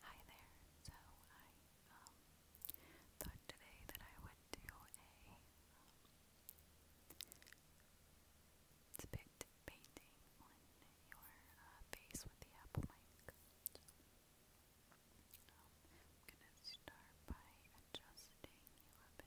Hi there. So I um, thought today that I would do a um, spit painting on your uh, face with the Apple mic. I'm gonna start by adjusting you a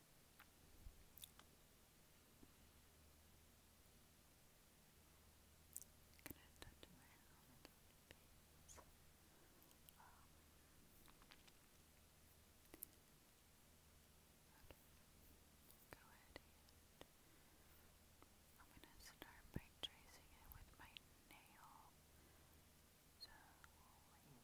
Gonna touch my hand I'm gonna start by tracing it with my nail. So here.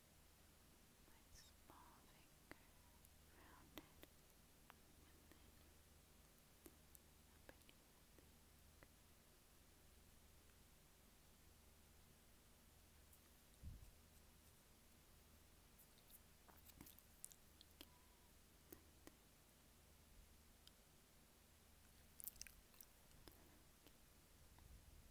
my small finger around it, and then up beneath the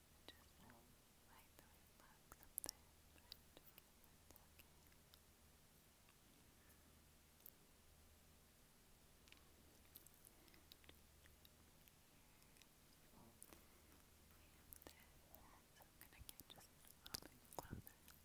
just like the remarks of the friend so I'm gonna get just a little bit closer. Okay. So, I think this is the perfect. Okay.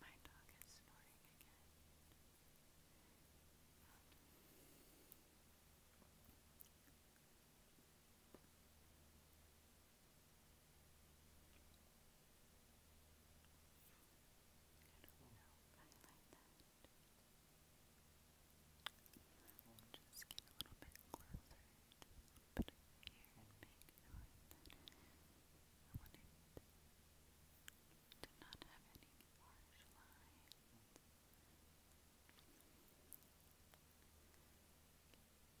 My dog is snoring again. just get a little bit closer. Put it here and make sure that I want it to not have any harsh lines. And then I think I don't know.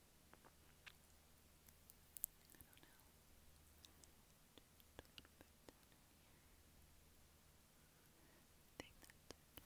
I don't know. Just a little bit down in here. I think that's it. Okay.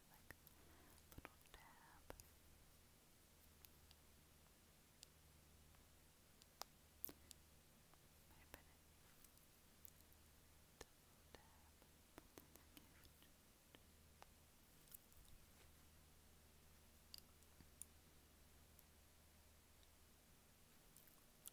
like little dab. Might have been it. Double dab, but then the gift. Just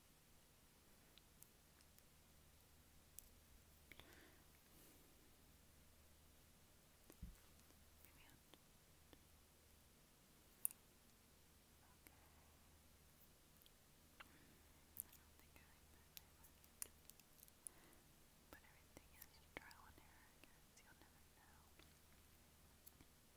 But everything is trial and error, I guess. You'll never know.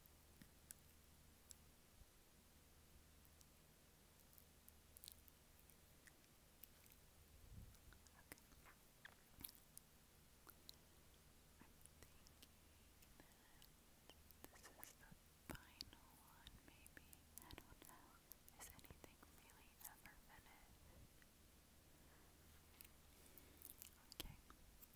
the final one, maybe. I don't know. Is anything really ever finished? Okay.